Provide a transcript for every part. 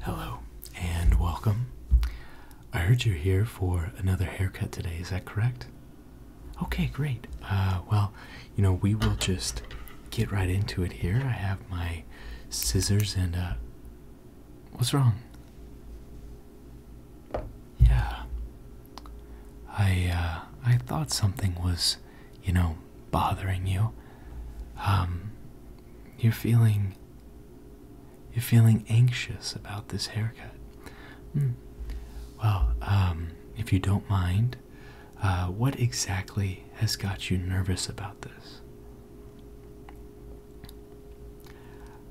Hello and welcome. I heard you're here for another haircut today. Is that correct? Okay, great. Uh, well, you know, we will just get right into it here. I have my scissors and, uh, what's wrong? Yeah. I, uh, I thought something was, you know, bothering you. Um, you're feeling you're feeling anxious about this haircut. Hmm. Well, um, if you don't mind, uh, what exactly has got you nervous about this?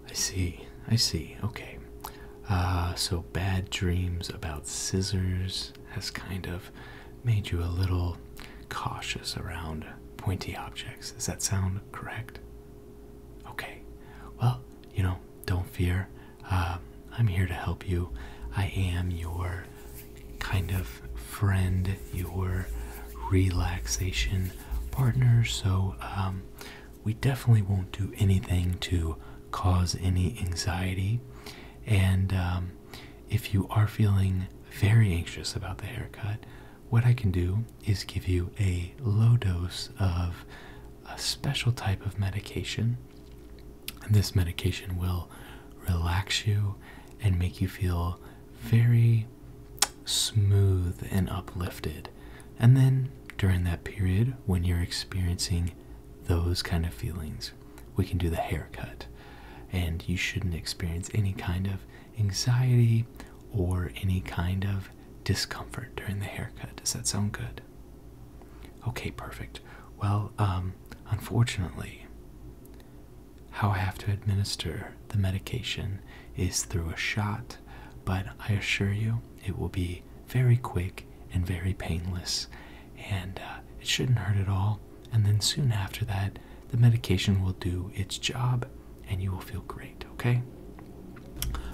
I see, I see, okay. Uh, so bad dreams about scissors has kind of made you a little cautious around pointy objects. Does that sound correct? Okay, well, you know, don't fear. Um, I'm here to help you. I am your kind of friend, your relaxation partner, so um, we definitely won't do anything to cause any anxiety. And um, if you are feeling very anxious about the haircut, what I can do is give you a low dose of a special type of medication. And this medication will relax you and make you feel very smooth and uplifted. And then during that period, when you're experiencing those kind of feelings, we can do the haircut. And you shouldn't experience any kind of anxiety or any kind of discomfort during the haircut. Does that sound good? Okay, perfect. Well, um, unfortunately, how I have to administer the medication is through a shot, but I assure you it will be very quick and very painless, and uh, it shouldn't hurt at all. And then soon after that, the medication will do its job and you will feel great, okay?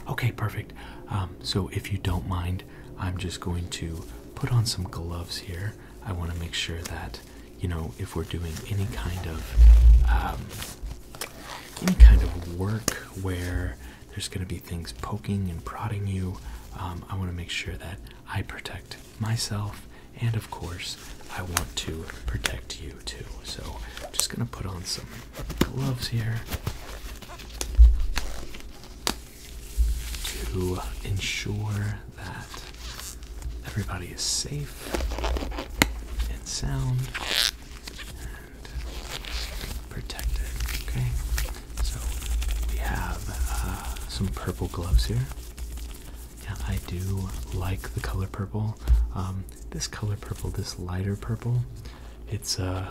Okay, perfect. Um, so, if you don't mind, I'm just going to put on some gloves here. I want to make sure that, you know, if we're doing any kind of um, any kind of work where there's going to be things poking and prodding you, um, I want to make sure that I protect myself and of course I want to protect you too. So I'm just gonna put on some gloves here to ensure that everybody is safe and sound and protected. Okay, so we have uh, some purple gloves here yeah, I do like the color purple. Um, this color purple, this lighter purple, it's uh,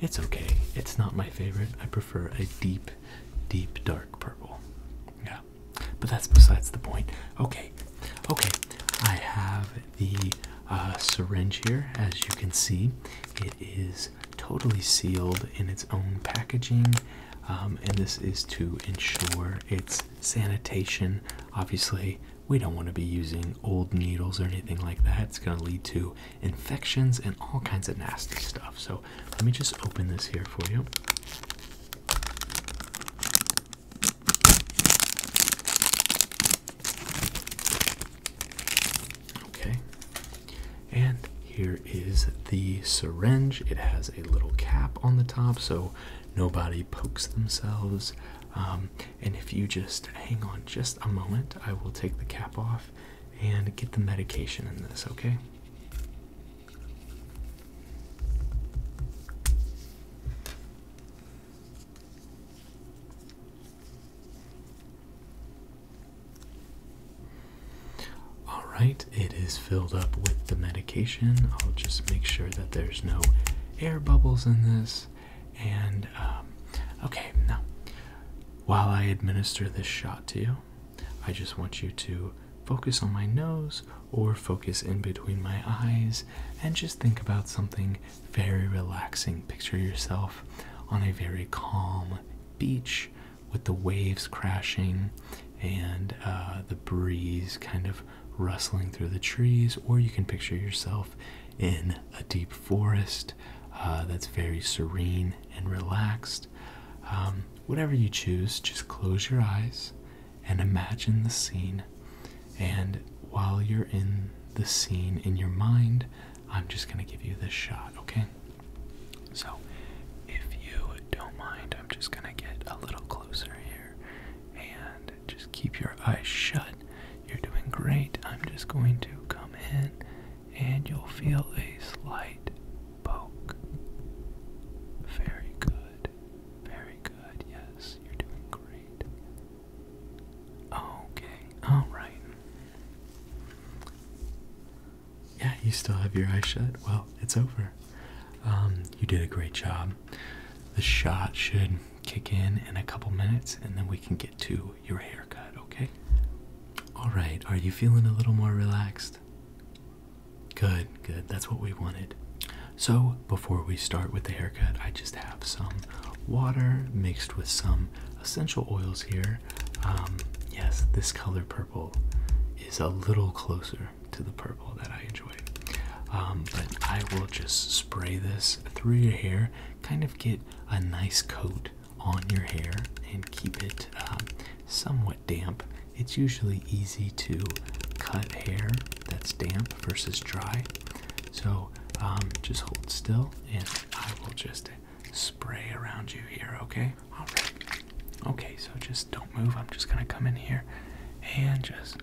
it's okay. It's not my favorite. I prefer a deep, deep dark purple. Yeah, but that's besides the point. Okay, okay. I have the uh, syringe here, as you can see. It is totally sealed in its own packaging, um, and this is to ensure its sanitation. Obviously, we don't want to be using old needles or anything like that. It's going to lead to infections and all kinds of nasty stuff. So, let me just open this here for you. Okay. And here is the syringe. It has a little cap on the top, so nobody pokes themselves. Um, and if you just hang on just a moment, I will take the cap off and get the medication in this, okay? All right, it is filled up with the medication. I'll just make sure that there's no air bubbles in this. And, um, okay, now, while I administer this shot to you, I just want you to focus on my nose or focus in between my eyes and just think about something very relaxing. Picture yourself on a very calm beach with the waves crashing and uh, the breeze kind of rustling through the trees, or you can picture yourself in a deep forest uh, that's very serene and relaxed. Um, whatever you choose, just close your eyes and imagine the scene. And while you're in the scene in your mind, I'm just going to give you this shot, okay? So, if you don't mind, I'm just gonna get a little closer here and just keep your eyes shut. You're doing great. I'm just going to come in and you'll feel a slight poke. Very good. Very good. Yes, you're doing great. Okay, alright yeah, you still have your eyes shut. Well, it's over. Um, you did a great job. The shot should kick in in a couple minutes, and then we can get to your haircut, okay? All right, are you feeling a little more relaxed? Good, good. That's what we wanted. So, before we start with the haircut, I just have some water mixed with some essential oils here um, yes, this color purple is a little closer to the purple that I enjoy. Um, but I will just spray this through your hair, kind of get a nice coat on your hair and keep it um, somewhat damp. It's usually easy to cut hair that's damp versus dry. So just hold still and I will just spray around you here, okay? Alright. Okay, so just don't move. I'm just gonna come in here and just.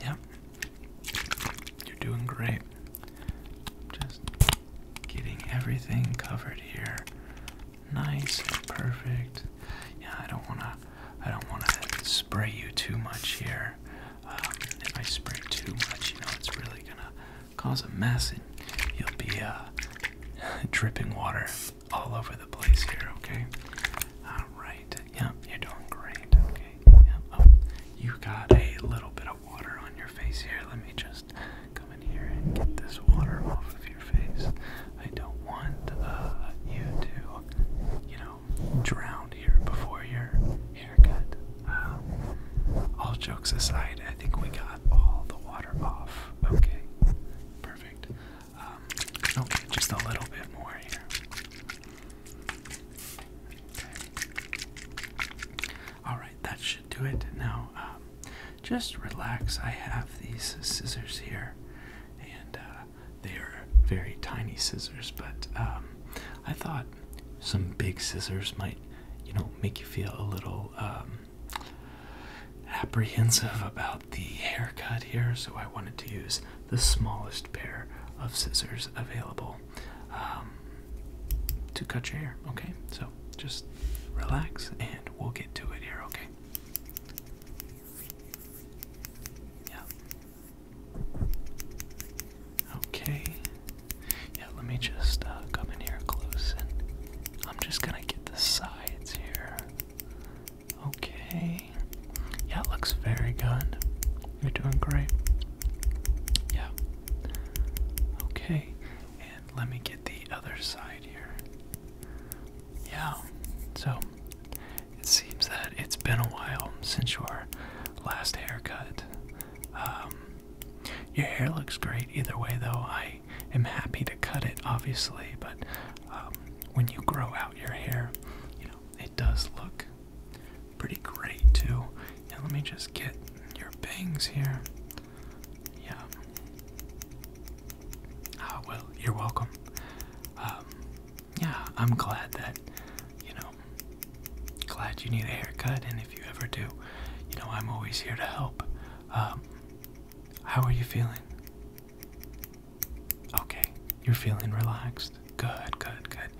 Yep. You're doing great. Just getting everything covered here. Nice and perfect. Yeah, I don't wanna I don't wanna spray you too much here. Um, if I spray too much, you know, it's really gonna cause a mess, and you'll be uh, dripping water all over the place here. Okay. All right. Yep, you're doing great. Okay. Yep. Oh, you got a little bit of water on your face here. Let me just come in here and get this water off of your face. I don't want uh, you to, you know, drowned here before your haircut. Um, all jokes aside, I think we got all the water off. Okay, perfect. Um, okay, just a little bit more here. Okay. All right, that should do it. Now, um, just relax. I have these scissors here, and uh, they are very tiny scissors, but um, I thought some big scissors might, you know, make you feel a little um, apprehensive about the haircut here. So I wanted to use the smallest pair of scissors available um, to cut your hair. Okay, so just relax and we'll get to it here. Okay. Yeah. Okay. Yeah, let me just uh, come in here close and I'm just gonna get the sides here. Okay. Yeah, looks very good. You're doing great. Yeah. Okay. And let me get the other side here. Yeah. So it seems that it's been a while since your last haircut. Um, your hair looks great either way, though. I am happy to cut it, obviously, but um, when you grow out your hair, you know, it does look pretty great, too. Yeah, let me just get your bangs here. Yeah. Ah, well, you're welcome. Um, yeah, I'm glad that, you know, glad you need a haircut, and if you ever do, you know, I'm always here to help. Um, how are you feeling? Okay, you're feeling relaxed. Good, good, good.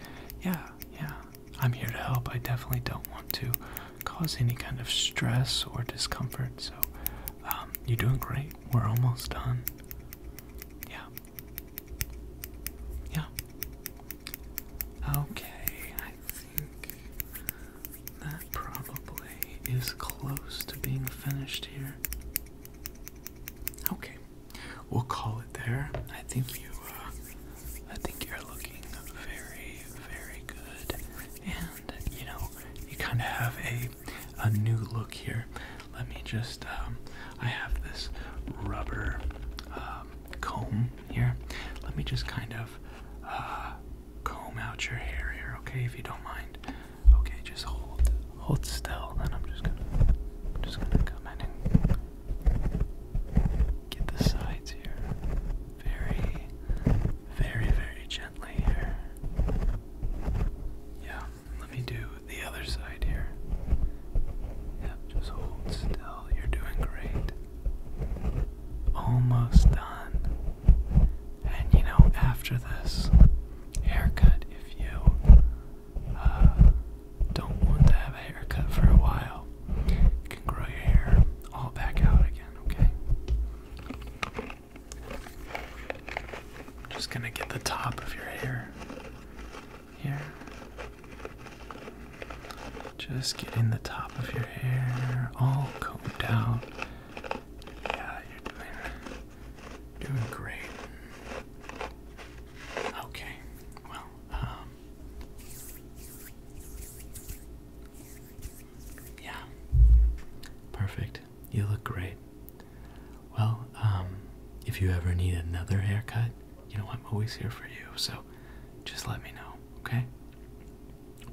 Yeah, yeah, I'm here to help. I definitely don't want to cause any kind of stress or discomfort, so um, you're doing great. We're almost done. Yeah, yeah. Okay, I think that probably is close to being finished here. Okay, we'll call it there. I think you, uh, I think you're looking very, very good, and you know, you kind of have a a new look here. Let me just, um, I have this rubber um, comb here. Let me just kind of uh, comb out your hair here, okay? If you don't mind. Okay, just hold, hold still, and I'm just gonna, just gonna come in and get the sides here, very, very, very gently here. Yeah, let me do the other side here. Yep, just hold still. You're doing great. Almost done. And you know, after this haircut, if you uh, don't want to have a haircut for a while, you can grow your hair all back out again, okay? just gonna get the top of your hair here. Just getting the top of your hair all combed out. Yeah, you're doing great. Okay, well, um yeah. Perfect. You look great. Well, um, if you ever need another haircut, you know, I'm always here for you, so just let me know, okay?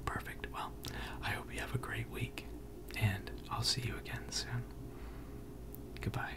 Perfect. Well, I hope you have a great week, and I'll see you again soon. Goodbye.